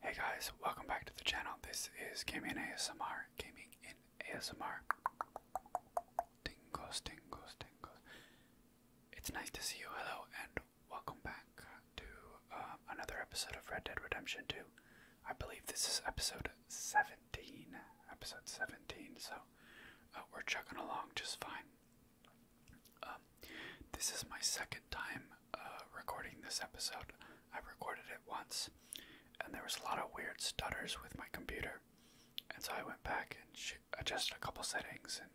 Hey guys, welcome back to the channel. This is Gaming ASMR. Gaming in ASMR. Tingles, tingles, tingles. It's nice to see you. Hello, and welcome back to uh, another episode of Red Dead Redemption 2. I believe this is episode 17. Episode 17, so uh, we're chugging along just fine. Uh, um, this is my second time uh, recording this episode. I recorded it once, and there was a lot of weird stutters with my computer, and so I went back and adjusted a couple settings and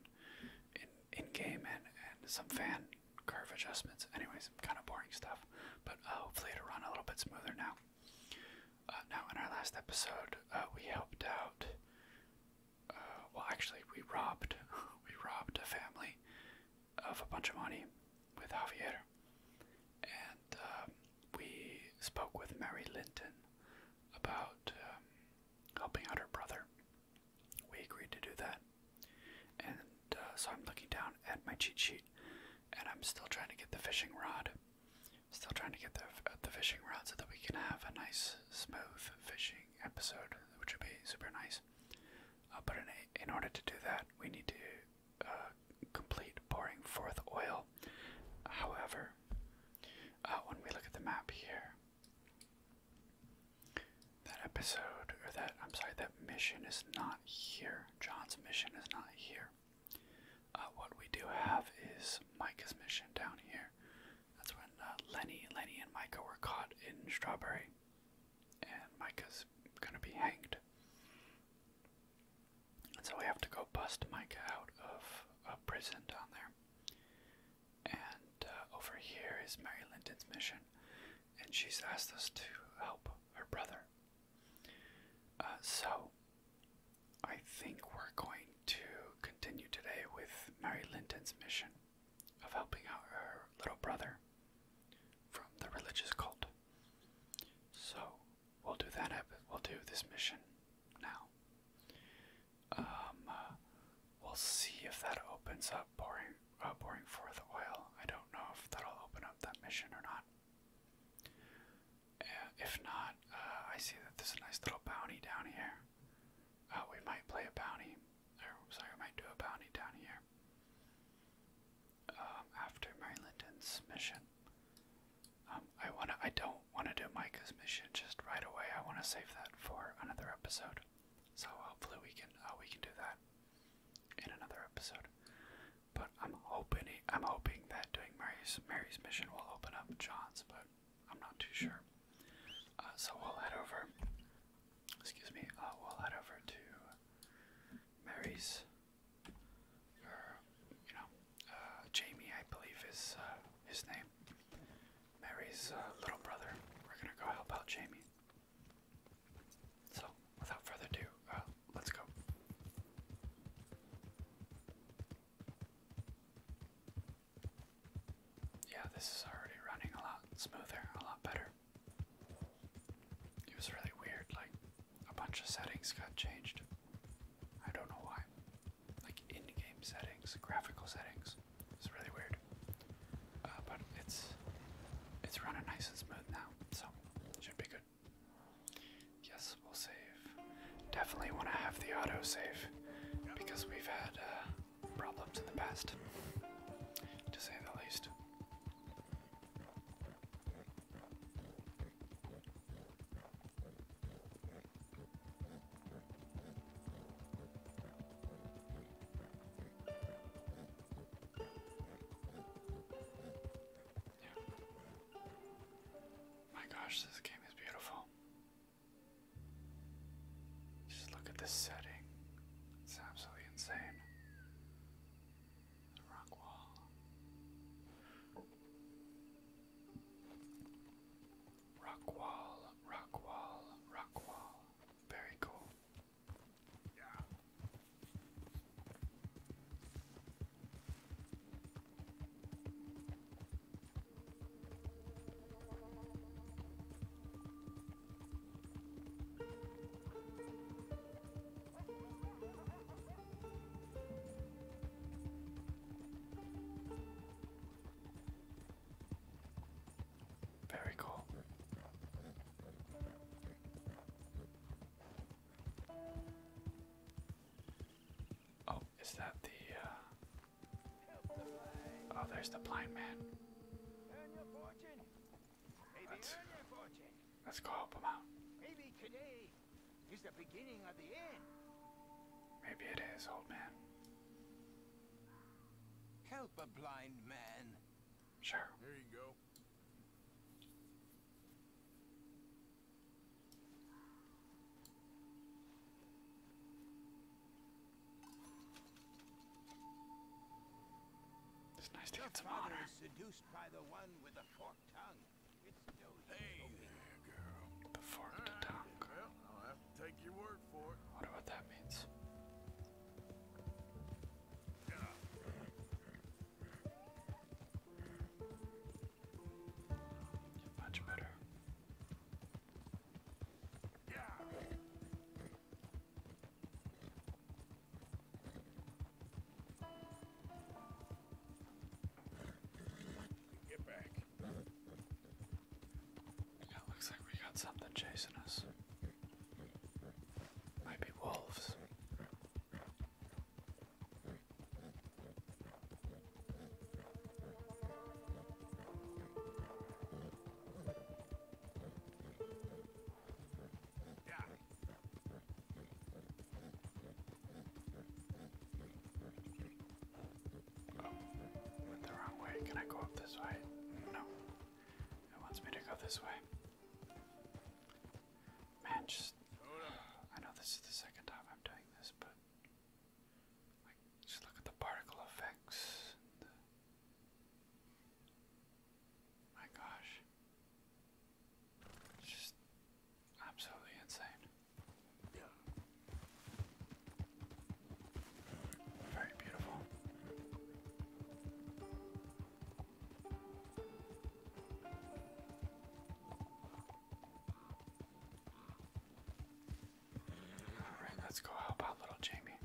in in game and and some fan curve adjustments. Anyways, kind of boring stuff, but uh, hopefully it'll run a little bit smoother now. Uh, now, in our last episode, we helped out. well, actually, we robbed we robbed a family of a bunch of money with Javier, and uh, we spoke with Mary Linton about um, helping out her brother. We agreed to do that, and uh, so I'm looking down at my cheat sheet, and I'm still trying to get the fishing rod. Still trying to get the uh, the fishing rod so that we can have a nice smooth fishing episode, which would be super nice. Uh, but in, in order to do that, we need to uh, complete pouring forth oil. However, uh, when we look at the map here, that episode, or that, I'm sorry, that mission is not here. John's mission is not here. what we do have is Micah's mission down here. That's when Lenny, Lenny and Micah were caught in Strawberry and Micah's gonna be hanged. And so we have to go bust Micah out of a prison down there. And uh, over here is Mary Linton's mission, and she's asked us to help her brother. Uh, so I think we're going to continue today with Mary Linton's mission of helping out her little brother from the religious cult. So we'll do that. We'll do this mission now. Um, uh, we'll see if that opens up pouring, uh, pouring forth oil. I don't know if that'll open up that mission or not. Uh, if not, uh, I see that there's a nice little bounty down here. Oh, we might play a bounty. sorry, we might do a bounty down here. Um, after Mary Linton's mission. Um, I wanna. I don't wanna do Micah's mission just right away. I wanna save that for another episode. So hopefully we can. Uh, we can do that in another episode. But I'm hoping. I'm hoping that doing Mary's Mary's mission will open up John's. But I'm not too sure. Uh, so we'll head over excuse me, uh, we'll head over to Mary's, or, you know, uh, Jamie, I believe is uh, his name. Mary's uh, little brother. We're gonna go help out Jamie. So, without further ado, let's go. Yeah, this is already running a lot smoother, a lot better. It was really weird, like, a bunch of settings got changed. I don't know why. Like, in game settings, graphical settings. It's really weird. Uh, but it's it's running nice and smooth now, so should be good. Yes, we'll save. Definitely want to have the auto save because we've had uh, problems in the past, to say the least. Yeah. My gosh, this game is beautiful. Just look at the setting it's absolutely insane. rock wall. Rock wall, rock wall, rock wall. Very cool. Yeah. Very cool. Oh, is that the uh, Oh, there's the blind man. Let's, go help him out. Maybe today is the beginning of the end. Maybe it is, old man. Help a blind man. Sure. It's nice to Your get some Seduced by the one with the forked tongue. hey there, girl. The forked tongue. Well, i that means. Much better. Get back. Yeah, looks like we got something chasing us. Might be wolves went the wrong way. Can I go up this way? No. It wants me to go this way. Man, just. I know this is the second time I'm doing this, but. Like, just look at the particle effects. My gosh. It's just absolutely insane. Very beautiful. Alright, let's go help out little Jamie.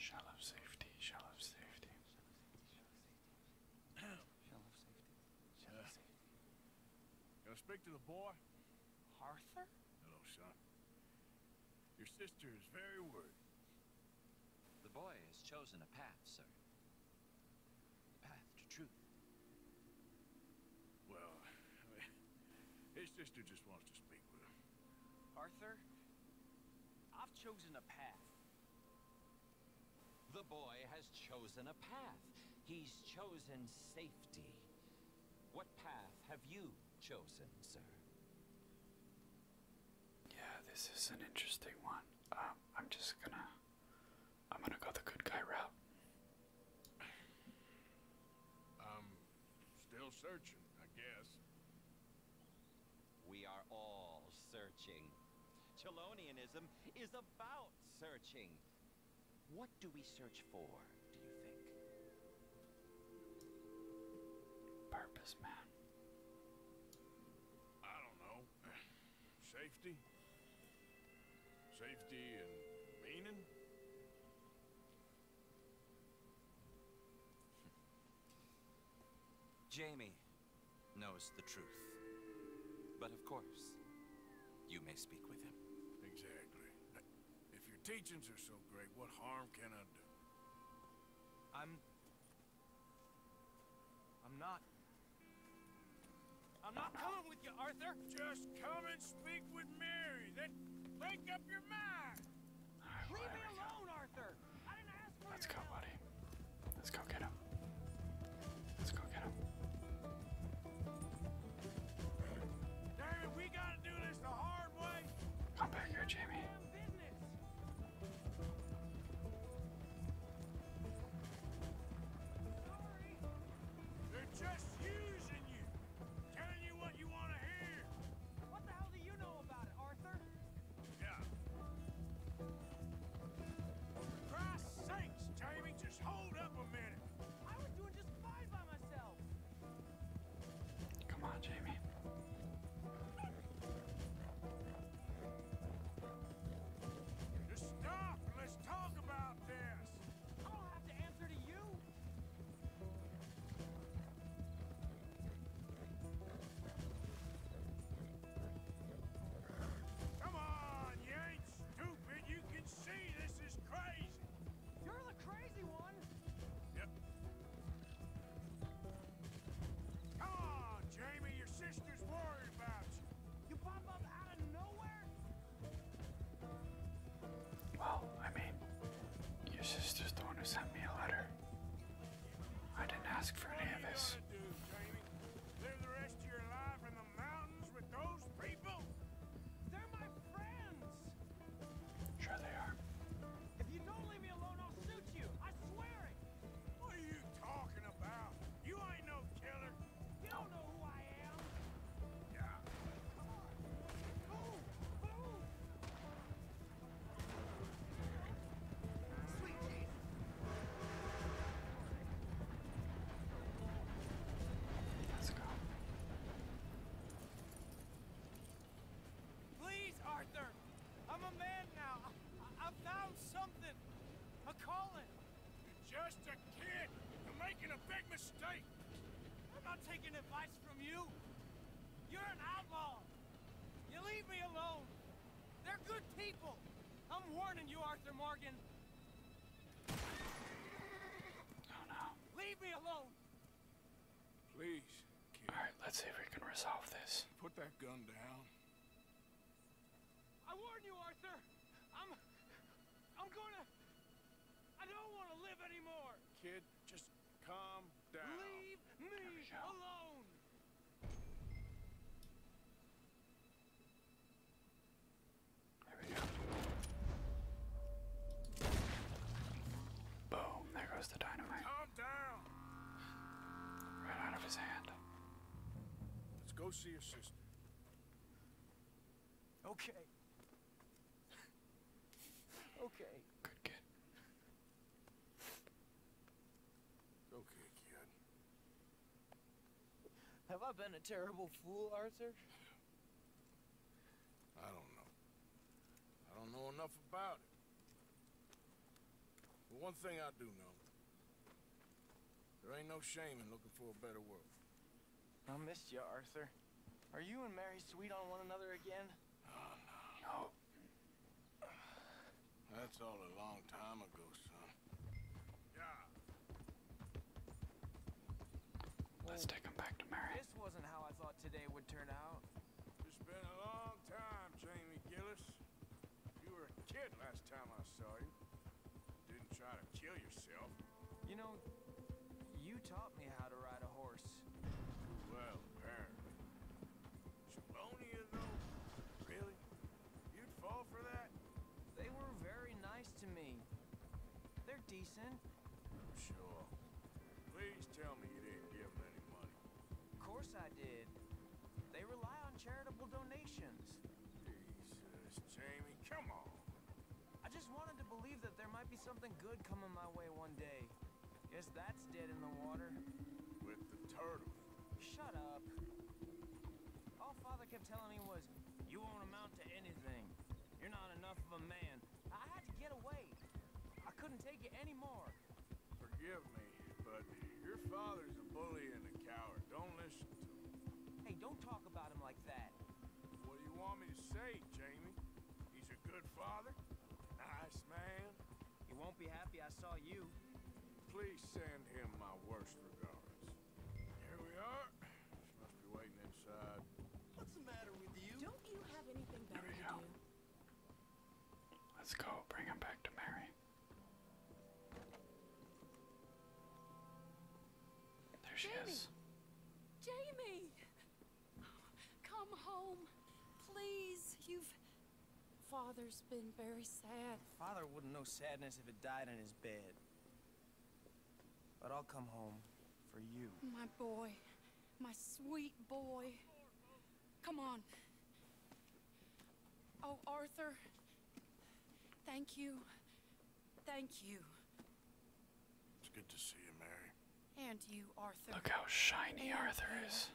Shall have safety, Shall have safety. Shell of safety. Shell yeah. safety. Gonna speak to the boy? Arthur? Hello, son. Your sister is very worried. The boy has chosen a path, sir. The path to truth. Well, his sister just wants to speak with him. Arthur, I've chosen a path. The boy has chosen a path. He's chosen safety. What path have you chosen, sir? Yeah, this is an interesting one. Um, I'm just gonna. I'm gonna go the good guy route. i still searching, I guess. We are all searching. Chelonianism is about searching. What do we search for, do you think? Purpose, man. I don't know. Safety? Safety and meaning? Jamie knows the truth. But of course, you may speak with him. Exactly. If your teachings are so great, what harm can I do? I'm... I'm not... I'm not coming with you, Arthur! Just come and speak with Mary, then make up your mind! Leave me alone, Arthur! Let's go, buddy. Let's go get him. Let's go get him. David, we gotta do this the hard way. Come back here, Jamie. They're just using you, telling you what you want to hear. What the hell do you know about it, Arthur? Yeah. For Christ's sakes, Jamie. Just hold up a minute. Come on, Jamie. Just stop. Let's talk about this. I don't have to answer to you. Come on, you stupid, you can see this is crazy. You're the crazy one. Yep. Come on, Jamie, your sister's worried about you. You pop up out of nowhere? Well, I mean, your sister's the one who sent me a letter. I didn't ask for any of this. Do, Jamie? the rest of your life Sure they are. If you don't leave me alone, I'll shoot you. I swear it. What are you talking about? You ain't no killer. You don't know who I am. Yeah. Please, Arthur! I'm a man now. I, I found something. A calling. You're just a kid. You're making a big mistake. I'm not taking advice from you. You're an outlaw. You leave me alone. They're good people. I'm warning you, Arthur Morgan. Oh, Leave me alone. Please. All right, let's see if we can resolve this. Put that gun down. I warn you, Arthur. I'm I'm going to I don't want to live anymore. Kid, just calm down. Leave me alone. There we go. Boom, there goes the dynamite. Calm down. Right out of his hand. Let's go see your sister. Okay. okay. Good kid. Okay, kid. Have I been a terrible fool, Arthur? I don't know. I don't know enough about it. But one thing I do know. There ain't no shame in looking for a better world. I missed you, Arthur. Are you and Mary sweet on one another again? no. Oh, no. That's all a long time ago, son. Yeah. Let's take him back to Mary. This wasn't how I thought today would turn out. It's been a long time, Jamie Gillis. You were a kid last time I saw you. Didn't try to kill yourself. You know, you taught me how to ride a horse. Well, apparently. Chelonia, though? Really? You'd fall for that? They were very nice to me. They're decent. I'm sure. Please tell me you didn't give them any money. Of course I did. They rely on charitable donations. Jesus, Jamie, come on. I just wanted to believe that there might be something good coming my way one day. Guess that's dead in the water. With the turtle. Shut up. All Father kept telling me was you won't amount to anything. You're not enough of a man. I had to get away. I couldn't take it anymore. Forgive me, but your father's a bully and a coward. Don't listen to him. Hey, don't talk about him like that. What do you want me to say, Jamie? He's a good father? Nice man? He won't be happy I saw you. Please send him my worst regards. Here we are. She must be waiting inside. What's the matter with you? Don't you have anything better to go. Let's go bring him back to Mary. There she is. Jamie! Come home, please. You've. Father's been very sad. Father wouldn't know sadness if it died in his bed. But I'll come home for you. My boy. My sweet boy. Come on. Oh, Arthur. Thank you. Thank you. It's good to see you, Mary. And you, Arthur. Look how shiny Arthur is.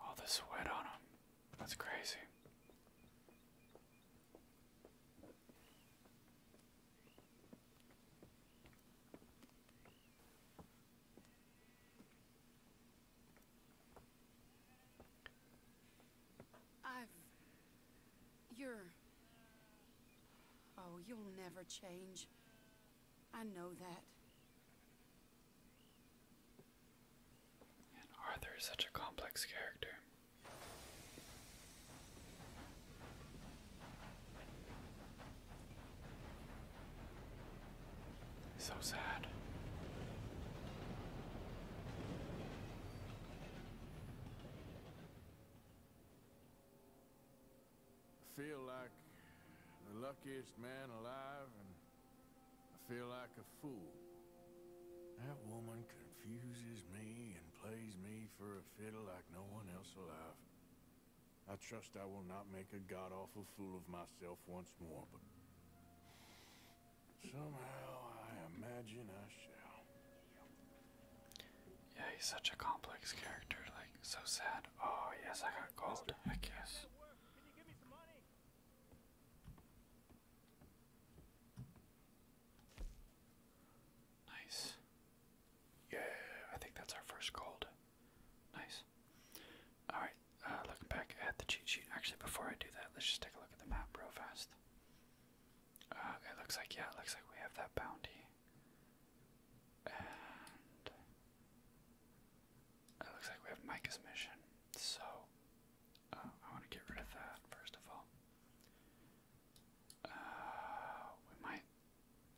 All the sweat on him. That's crazy. I've... You're... Oh, you'll never change. I know that. Arthur is such a complex character. So sad. Feel like the luckiest man alive I feel like a fool. That woman confuses me and plays me for a fiddle like no one else alive. I trust I will not make a god-awful fool of myself once more, but... Somehow, I imagine I shall. Yeah, he's such a complex character, like, so sad. Oh, yes, I got cold. I guess. Nice. Yeah, I think that's our first gold. Nice. Alright, uh, looking back at the cheat sheet. Actually, before I do that, let's just take a look at the map real fast. Uh, it looks like, yeah, it looks like we have that bounty. And. It looks like we have Micah's mission. So, Oh, I want to get rid of that first of all. Uh, we might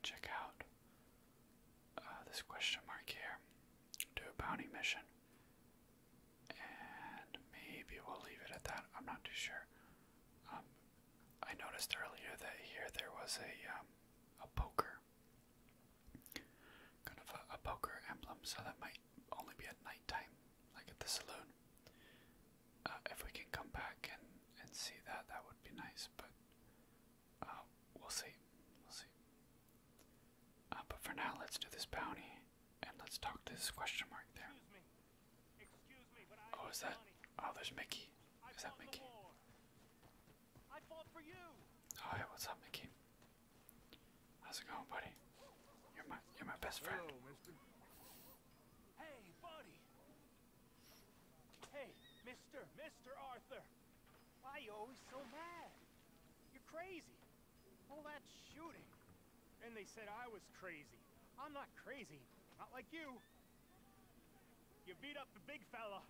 check out uh, this question mark here. Do a bounty mission. And maybe we'll leave it at that. I'm not too sure. Um, I noticed earlier that here there was a um, a poker, kind of a poker emblem, so that might only be at nighttime like at the saloon. Uh, if we can come back and and see that, that would be nice. But uh, we'll see, we'll see. Uh, but for now, let's do this bounty and let's talk to this question mark there. Excuse oh, is that? Oh, there's Mickey. Is that Mickey? I oh, what's up, Mickey? How's it going, buddy? You're my you're my best friend. Hey, buddy. Hey, mister, Mr. Arthur. Why are you always so mad? You're crazy. All that shooting. And they said I was crazy. I'm not crazy. Not like you. You beat up the big fella.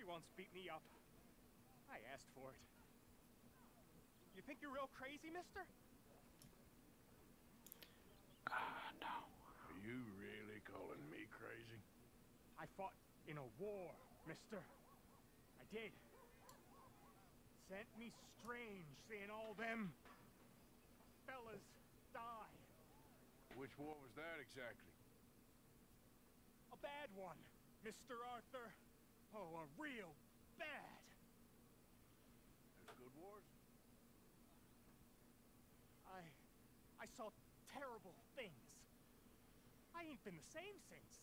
He once beat me up. I asked for it. You think you're real crazy, mister? Ah, no. Are you really calling me crazy? I fought in a war, mister. I did. Sent me strange seeing all them fellas die. Which war was that exactly? A bad one, Mr. Arthur. Oh, a real bad. There's good wars? I... I saw terrible things. I ain't been the same since.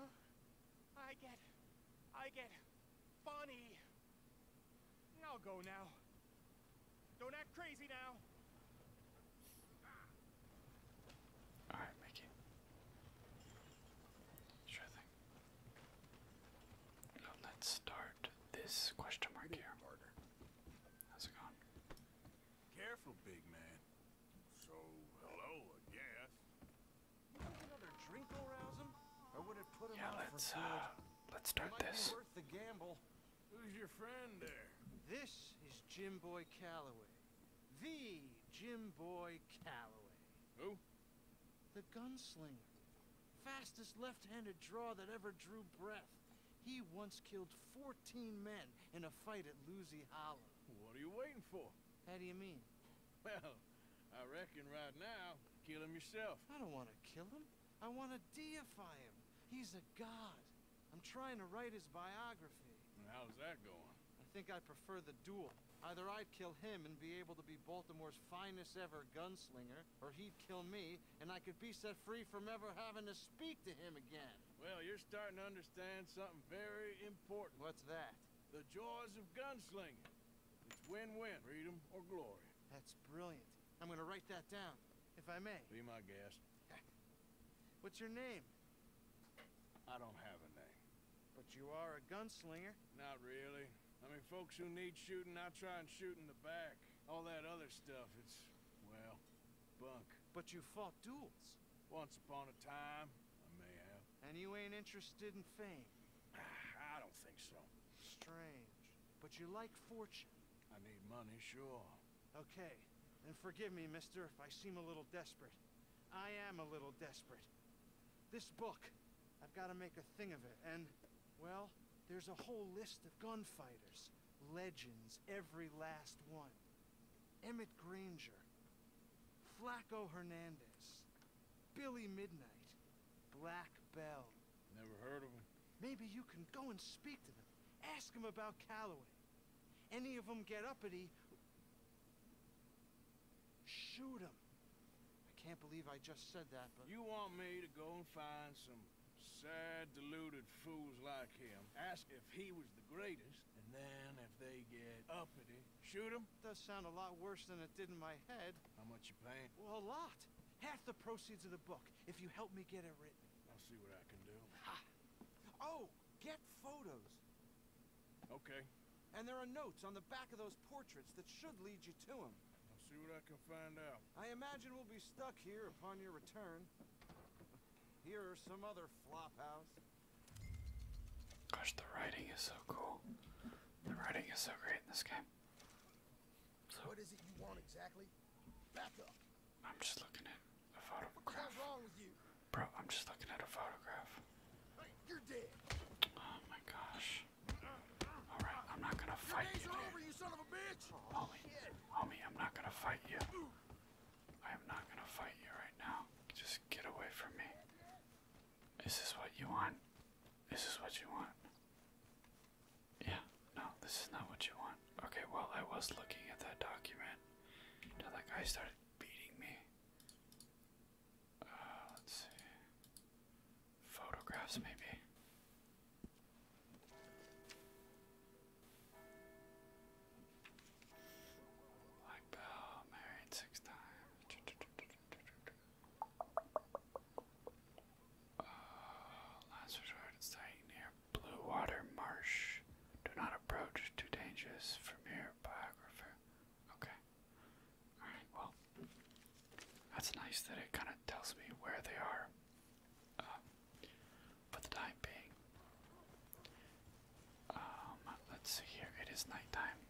Uh, I get... I get... funny. I'll go now. Don't act crazy now. Alright, Mickey. Sure thing let's start this question mark here. How's it going? Careful, big man. So, hello, I Another drink will rouse him? I would have put him yeah, let's, uh, let's start this. This is Jim Boy Calloway. The Jim Boy Calloway. Who? The gunslinger. Fastest left-handed draw that ever drew breath. He once killed 14 men in a fight at Loozy Hollow. What are you waiting for? How do you mean? Well, I reckon right now, kill him yourself. I don't want to kill him. I want to deify him. He's a god. I'm trying to write his biography. How's that going? I think I prefer the duel. Either I'd kill him and be able to be Baltimore's finest ever gunslinger, or he'd kill me, and I could be set free from ever having to speak to him again. Well, you're starting to understand something very important. What's that? The joys of gunslinging. It's win-win, freedom or glory. That's brilliant. I'm gonna write that down, if I may. Be my guest. What's your name? I don't have a name. But you are a gunslinger? Not really. I mean, folks who need shooting, I try and shoot in the back. All that other stuff, it's, well, bunk. But you fought duels. Once upon a time, I may have. And you ain't interested in fame? Ah, I don't think so. Strange. But you like fortune. I need money, sure. Okay. Then forgive me, mister, if I seem a little desperate. I am a little desperate. This book, I've got to make a thing of it, and, well, there's a whole list of gunfighters. Legends, every last one. Emmett Granger, Flaco Hernandez, Billy Midnight, Black Bell. Never heard of him. Maybe you can go and speak to them. Ask them about Calloway. Any of them get uppity, Shoot him. I can't believe I just said that, but... You want me to go and find some sad, deluded fools like him, ask if he was the greatest, and then if they get uppity, shoot him? Does sound a lot worse than it did in my head. How much you paying? Well, a lot. Half the proceeds of the book, if you help me get it written. I'll see what I can do. Oh, get photos. Okay. And there are notes on the back of those portraits that should lead you to him. I'll see what I can find out. I imagine we'll be stuck here upon your return. Here or some other flop house. Gosh, the writing is so cool. The writing is so great in this game. what is it you want exactly? Back up. I'm just looking at a photograph. What's wrong with you? Bro, I'm just looking at a photograph. You're dead. Oh my gosh. Alright, I'm not gonna fight you. Are homie, homie, I'm not gonna fight you. I am not gonna fight you right now. Just get away from me. Is this what you want? Is this what you want? Yeah, no, this is not what you want. Okay, well, I was looking at that document until that guy started beating me. Uh, let's see. Photographs, maybe. Black Bell, married six times. Uh, last resort is staying near Blue Water Marsh. Do not approach, too dangerous. From here, biographer. Okay. Alright, well, that's nice that it kind of tells me where they are uh, the time being. Um, let's see here. It is nighttime.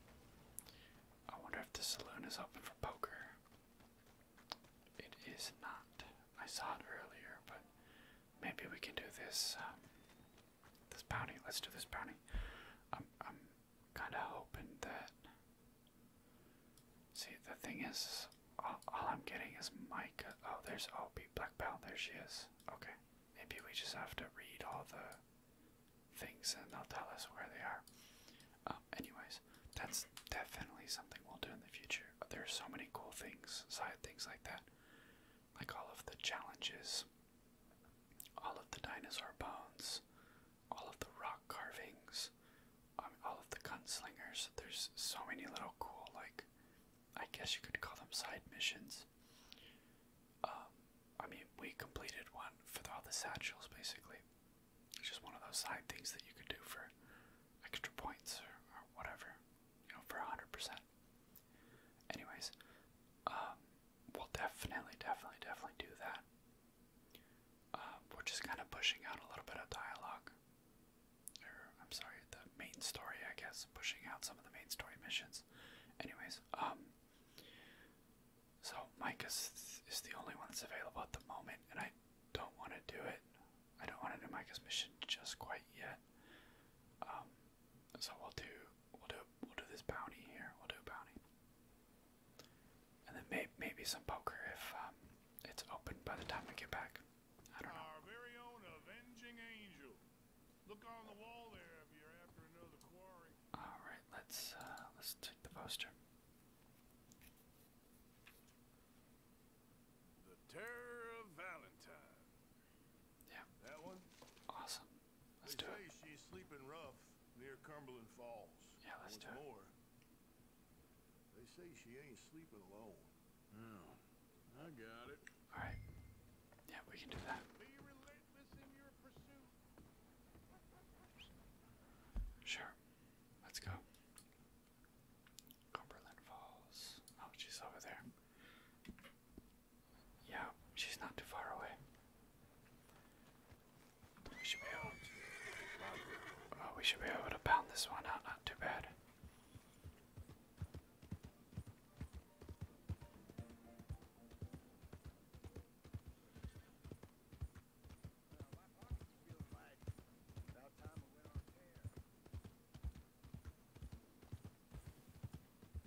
I wonder if the saloon is open for poker. It is not. I saw it earlier, but maybe we can do this um, this bounty. Let's do this bounty. I'm I'm kind of hoping that. See, the thing is, all, I'm getting is Micah. Oh, there's oh, be Black Belt. There she is. Okay. Maybe we just have to read all the things and they'll tell us where they are. Um, anyways, that's definitely something we'll do in the future. There's so many cool things, side things like that. Like all of the challenges all of the dinosaur bones, all of the rock carvings, um, all of the gunslingers. There's so many little cool, like, I guess you could call them side missions. Um, I mean, we completed one for all the satchels, basically. It's just one of those side things that you could do for extra points or, whatever, you know, for 100%. Anyways, um, we'll definitely, definitely, definitely do that. Uh, we're just kind of pushing out a little bit of dialogue. I'm sorry, the main story, I guess. Pushing out some of the main story missions. Anyways, um, so Mike is, is the only one that's available at the moment, and I don't want to do it. I don't want to do Micah's mission just quite yet. Um, so we'll do we'll do we'll do this bounty here. We'll do a bounty, and then maybe maybe some poker if um, it's open by the time we get back. I don't know. Our very own avenging angel. Look on the wall there if you're after another quarry. All right, let's uh, let's take the poster. Yeah. That one? Awesome. Let's do it. She's sleeping rough near Cumberland Falls. Yeah, let's do it. More, they say she ain't sleeping alone. Oh, I got it. All right. Yeah, we can do that. Be relentless in your pursuit. Sure. Let's go. Cumberland Falls. Oh, she's over there. Yeah, she's not too far away. We should be able. Oh, we should be able to pound this one out. Not too bad.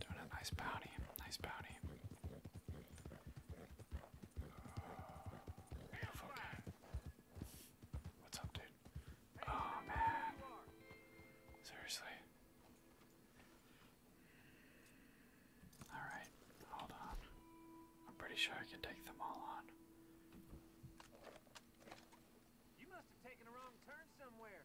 Doing a nice bounty, nice bounty. Oh, beautiful game. What's up, dude? Oh man, seriously. All right, hold on. I'm pretty sure I can take them all on. You must have taken a wrong turn somewhere.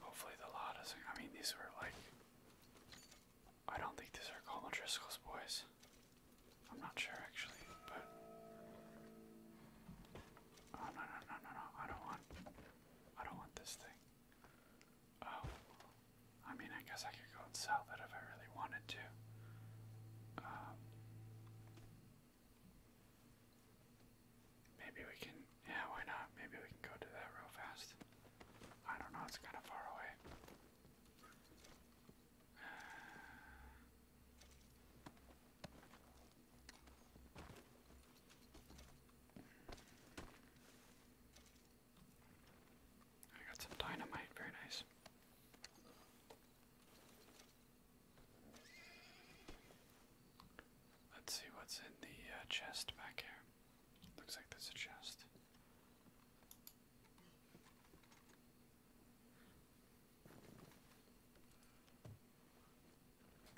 Hopefully the loudest. I mean, these were like. I don't think these are Coleman Driscoll's boys. I'm not sure actually, but. Oh, no no no no no! I don't want. I don't want this thing. Oh, I mean, I guess I could go and sell that if I really wanted to. Um, Maybe we can, yeah, why not? Maybe we can go to that real fast. I don't know, it's kind of far away. I got some dynamite, very nice. Let's see what's in the uh, chest back here. Looks like there's a chest.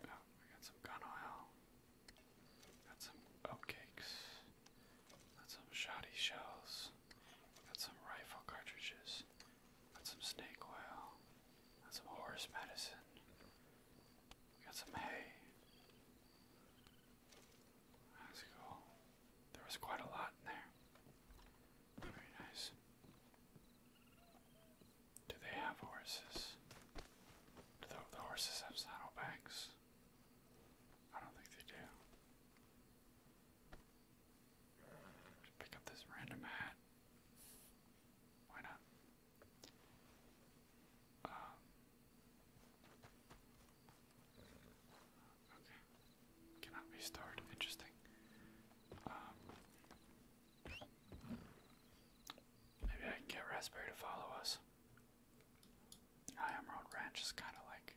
Oh, we got some gun oil. Got some oat Got some shoddy shells. Got some rifle cartridges. Got some snake oil. Got some horse medicine got some hay. That's cool. There was quite a lot in there. Very nice. Do they have horses? Do the horses have saddlebags? I don't think they do. Just pick up this random hat. Why not? Um, okay. Cannot Interesting. Um, maybe I can get Raspberry to follow us. High Emerald Ranch is kind of like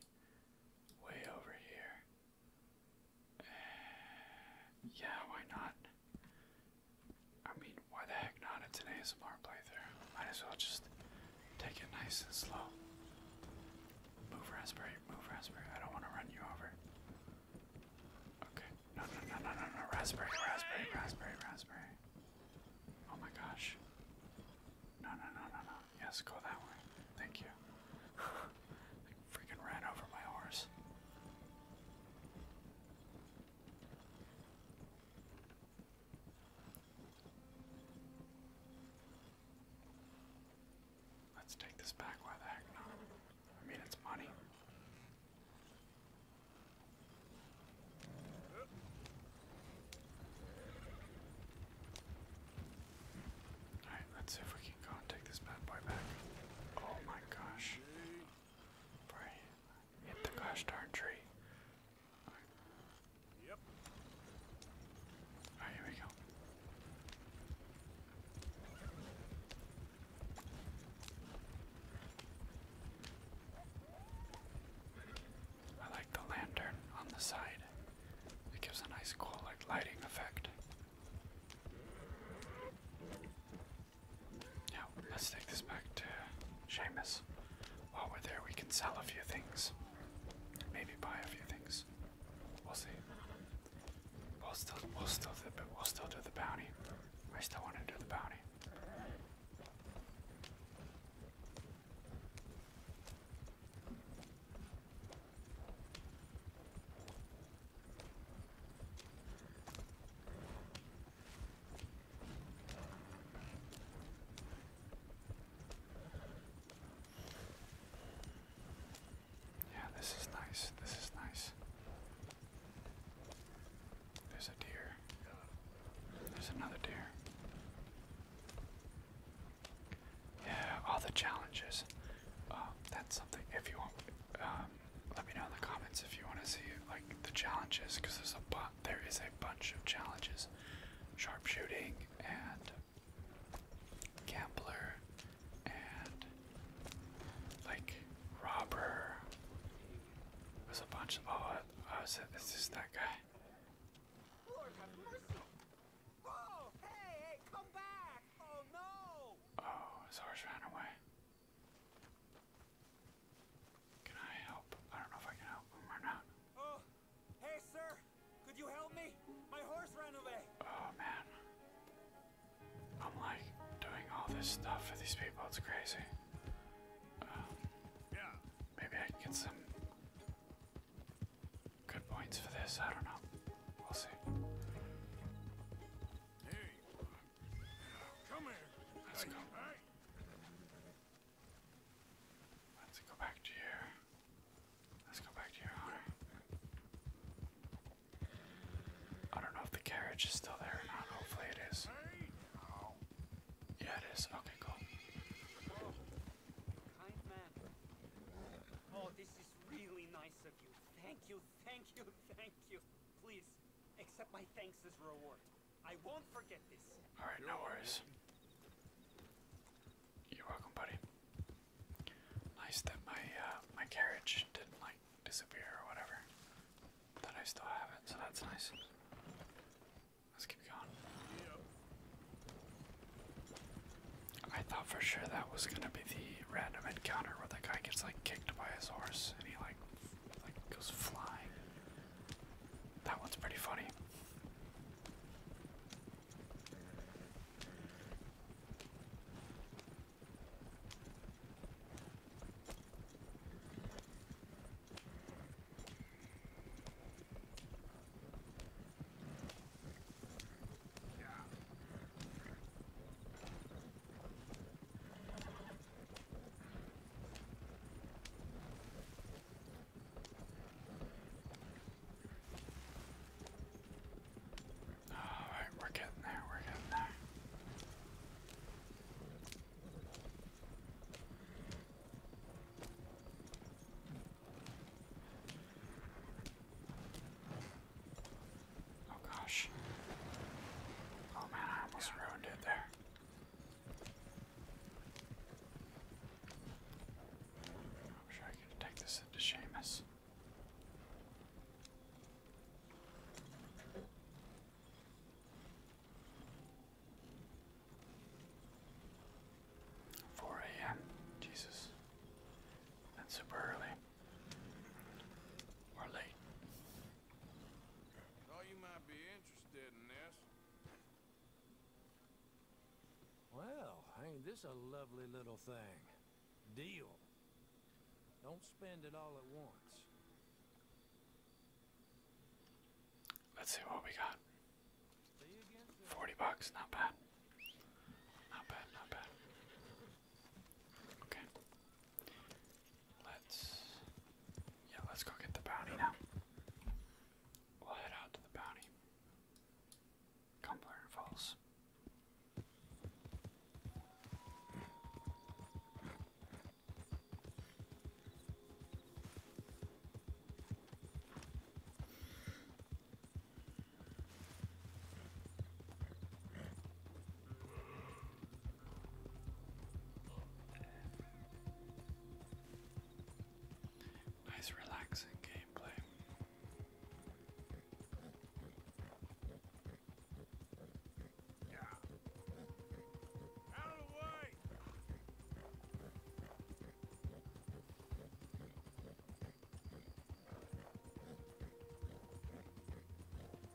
way over here. Eh, yeah, why not? I mean, why the heck not? It's an ASMR playthrough. Might as well just take it nice and slow. Move, raspberry. Move, raspberry. I don't want to run you over. Okay. No, no, no, no, no, no. Raspberry, raspberry, raspberry, raspberry. Oh my gosh. No, no, no, no, no. Yes, go that way. Thank you. I freaking ran over my horse. Let's take this back. Why the heck not? I mean, it's money. Alright, let's see if we can go and take this bad boy back. Oh my gosh. Bray. Hit the gosh star tree. Yep. here we go. I like the lantern on the side. It gives a nice cool like lighting effect. Now, let's take this back to Seamus. While we're there, we can sell a few things. Maybe buy a few things. We'll see. We'll still, we'll still, the, we'll still do the bounty. I still want to do the bounty. Yeah, this is nice. This is nice. There's a deer. There's another deer. Yeah, all the challenges. Uh, that's something. If you want, um, let me know in the comments if you want to see like the challenges because there's a there is a bunch of challenges sharpshooting and gambler and like robber there's a bunch of oh uh, oh, is this that guy Oh no! Oh, ran away. Can I help? I don't know if I can help or not. Oh, hey, sir. Could you help me? My horse ran away. Oh, man. I'm like doing all this stuff for these people. It's crazy. Um, yeah. Maybe I can get some good points for this. I don't know. We'll see. Come here. Let's go. Let's go back to your. Let's go back to your honor. I don't know if the carriage is still there or not. Hopefully it is. Oh. Yeah, it is. Okay, cool. Oh, kind man. Oh, this is really nice of you. Thank you, thank you, thank you. Please, Accept my thanks as reward. I won't forget this. All right, no worries. You're welcome, buddy. Nice that my uh, my carriage didn't like disappear or whatever. That I still have it, so that's nice. Let's keep going. I thought for sure that was gonna be the random encounter where the guy gets like kicked by his horse and he like like goes flying. That one's pretty funny. Yeah. Alright, we're getting there, we're getting there. Oh gosh. Oh man, I almost ruined it there. I'm sure I could take this into Seamus. Four AM. Jesus. That's super early. Or late. Thought you might be interested in this. Well, ain't this a lovely little thing. Deal. Don't spend it all at once. Let's see what we got. 40 bucks, not bad. Not bad, not bad. Okay. Let's yeah, let's go get the bounty now. We'll head out to the bounty. Cumberland Falls. Nice, relaxing gameplay. Yeah. Out of the way.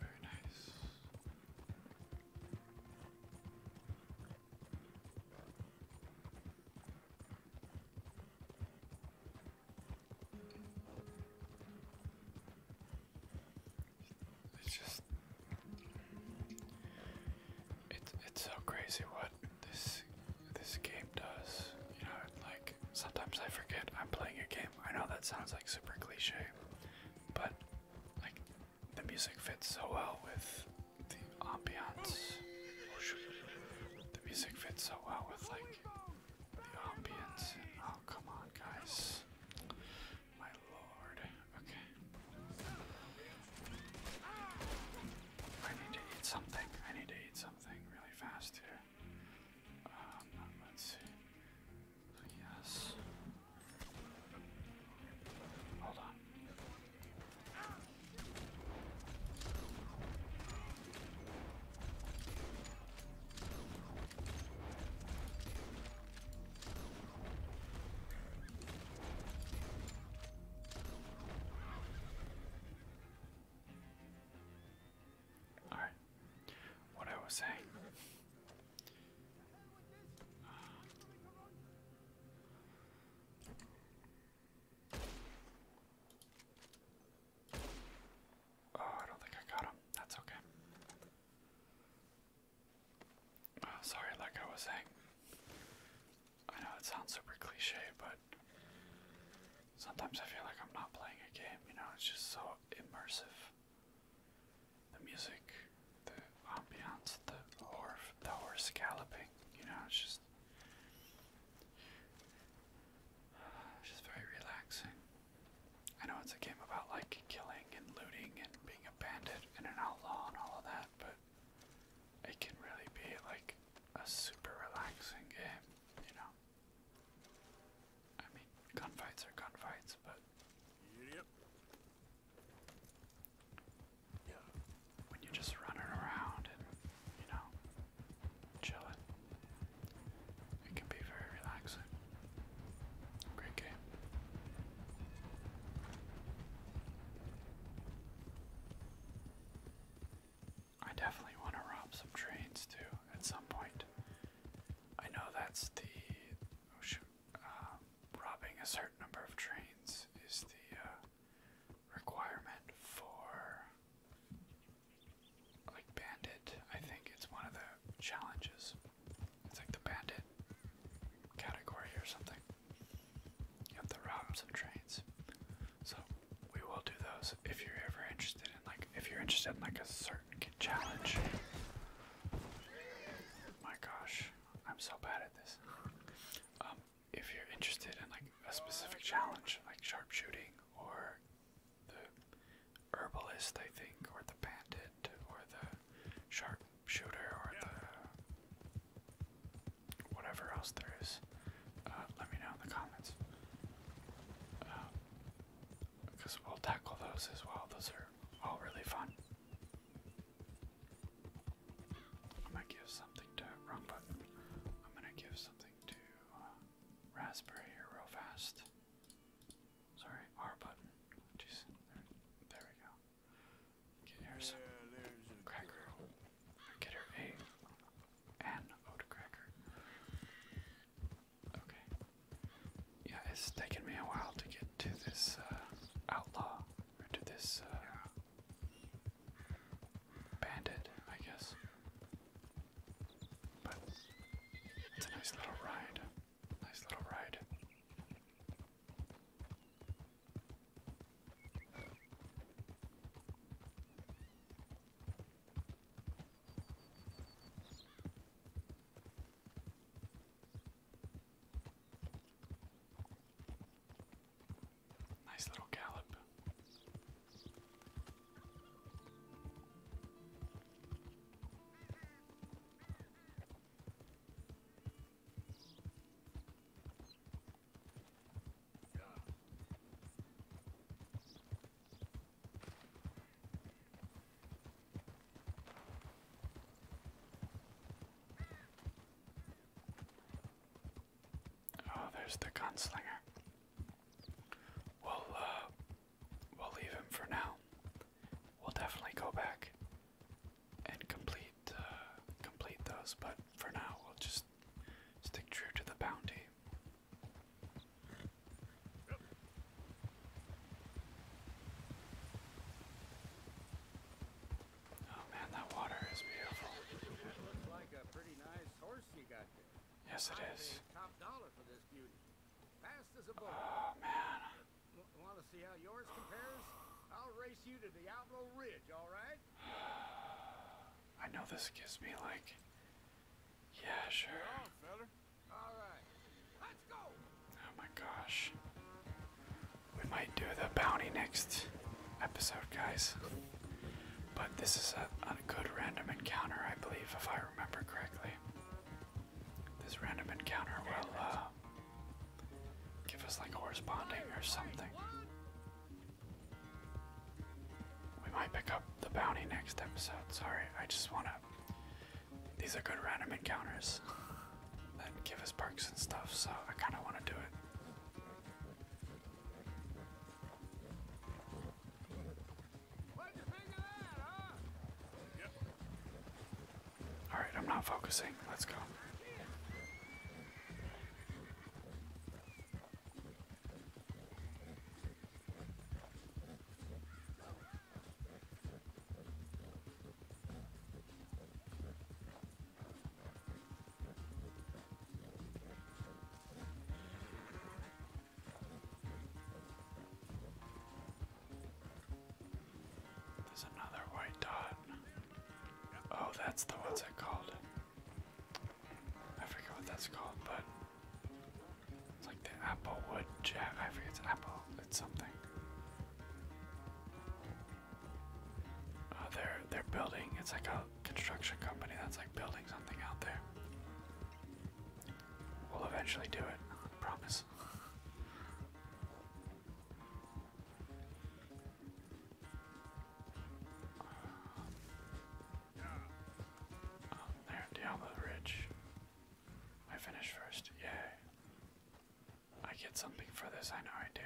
Very nice. It's just it's it's so crazy what this this game does. You know, like sometimes I forget I'm playing a game. I know that sounds like super cliche, but like the music fits so well with the ambiance. The music fits so well with like the ambience. Oh come on, guys! My lord. Okay. I need to eat something. I need to eat something really fast here. Um, let's see. Yes. Hold on. All right. What I was saying. Oh, I don't think I got him. That's okay. Oh, sorry, like I was saying. I know it sounds super cliche, but sometimes I feel like I'm not playing a game, you know, it's just so immersive the music, the ambiance, the horse, the horse galloping. You know, it's just, just very relaxing. I know it's a game about like killing and looting and being a bandit and an outlaw and all of that, but it can really be like a super relaxing game. You know, I mean, gunfights are gunfights, but. Yeah. When you're just running around and, you know, chilling, it can be very relaxing. Great game. I definitely want to rob some trains too at some point. I know that's the. Oh shoot. Uh, robbing a certain number of trains is the uh, requirement for like bandit. I think it's one of the challenges. It's like the bandit category or something. You have to rob some trains. So we will do those if you're ever interested in like if you're interested in like a certain challenge my gosh, I'm so bad at this. Um, if you're interested in like a specific challenge, like sharpshooting or the herbalist, I think, or the bandit, or the sharpshooter, or the whatever else there is, uh, let me know in the comments. because um, we'll tackle those as well. Those are all really fun. I'm gonna give something to wrong button. I'm gonna give something to uh, Raspberry here real fast. Sorry, R button. Jeez, there, we go. Get her cracker. Get her a an oat cracker. Okay, yeah, it's taken me a while to get to this uh, outlaw, to this uh, bandit, I guess. But it's a nice little ride. Nice little ride. Nice little gallop. Oh, there's the gunslinger. We'll uh, we'll leave him for now. We'll definitely go back and complete uh, complete those, but for now we'll just stick true to the bounty. Oh man, that water is beautiful. looks like a pretty nice horse you got there. Yes, it is. Top dollar for this beauty. Fast as a bull. Oh man. Want to see how yours compares? I'll race you to Diablo Ridge, all right? I know this gives me like. Yeah, sure. Oh my gosh. We might do the bounty next episode, guys. But this is a, good random encounter, I believe, if I remember correctly. This random encounter will uh, give us like a corresponding or something. We might pick up the bounty next episode. Sorry, I just want to these are good random encounters that give us perks and stuff, so I kind of want to do it. Alright, I'm not focusing. Let's go. There's another white dot. Oh, that's the ones I called. I forget what that's called, but it's like the applewood jack. I forget it's apple. It's something. Oh, they're they're building. It's like a construction company that's like building something out there. We'll eventually do it, I promise. Oh, there, Diablo Ridge. I finish first. Yay. I get something for this, I know I do.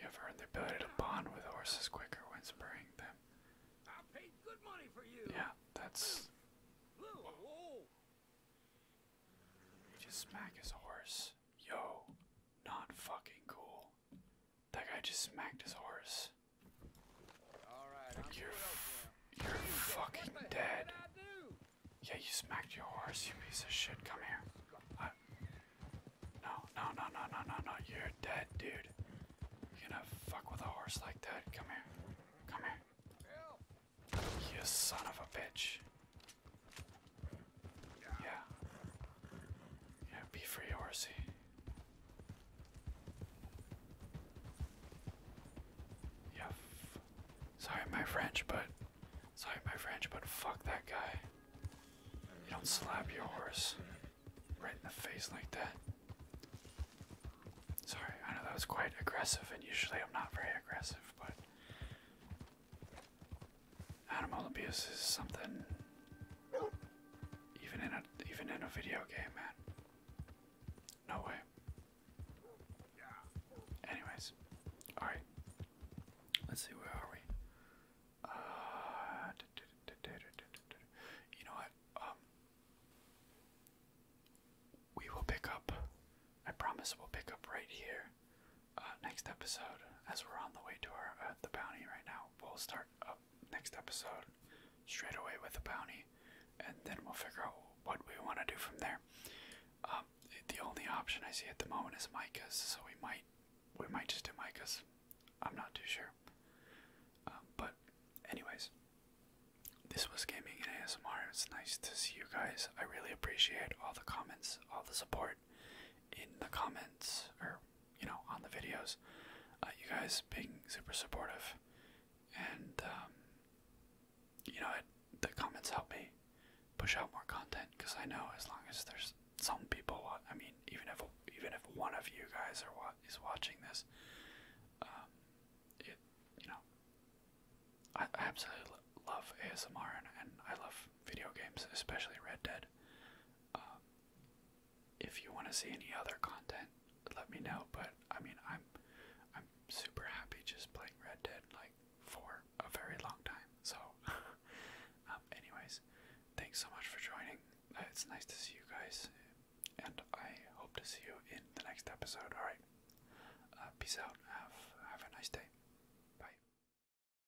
You have earned the ability to bond with horses quicker when spurring them. Yeah, that's. You just smack his horse. Yo, not fucking cool. That guy just smacked his horse. All right, like you're, you're fucking dead. Yeah, you smacked your horse, you piece of shit. Come here. I, uh, no, no, no, no, no, no, no. You're dead, dude. You're gonna fuck with a horse like that. Come here. Come here. You son of a bitch. Yeah. Yeah, be free, horsey. Yuff. Sorry my French, but sorry my French, but fuck that guy. You don't slap your horse right in the face like that. Sorry, I know that was quite aggressive, and usually I'm not very aggressive, but Animal abuse is something even in a even in a video game, man. No way. Anyways, all right. Let's see where are we? Uh, you know what? Um, we will pick up. I promise we'll pick up right here uh, next episode, as we're on the way to our uh, the bounty right now, we'll start up next episode straight away with the bounty, and then we'll figure out what we want to do from there. Um, the only option I see at the moment is Micah's, so we might we might just do Micah's. I'm not too sure. Um, but anyways, this was gaming and ASMR. It's nice to see you guys. I really appreciate all the comments, all the support in the comments or you know on the videos. Uh, you guys being super supportive, and um, you know it, the comments help me push out more content because I know as long as there's some people, I mean, even if even if one of you guys are what is watching this, um, it you know, I, I absolutely love ASMR and, and I love video games, especially Red Dead. Um, if you want to see any other content, let me know. But I mean, I'm I'm super happy just playing Red Dead like for a very long time. So, um, anyways, thanks so much for joining. Uh, it's nice to see you guys, and I hope to see you in the next episode. All right, uh, peace out. have a nice day. Bye.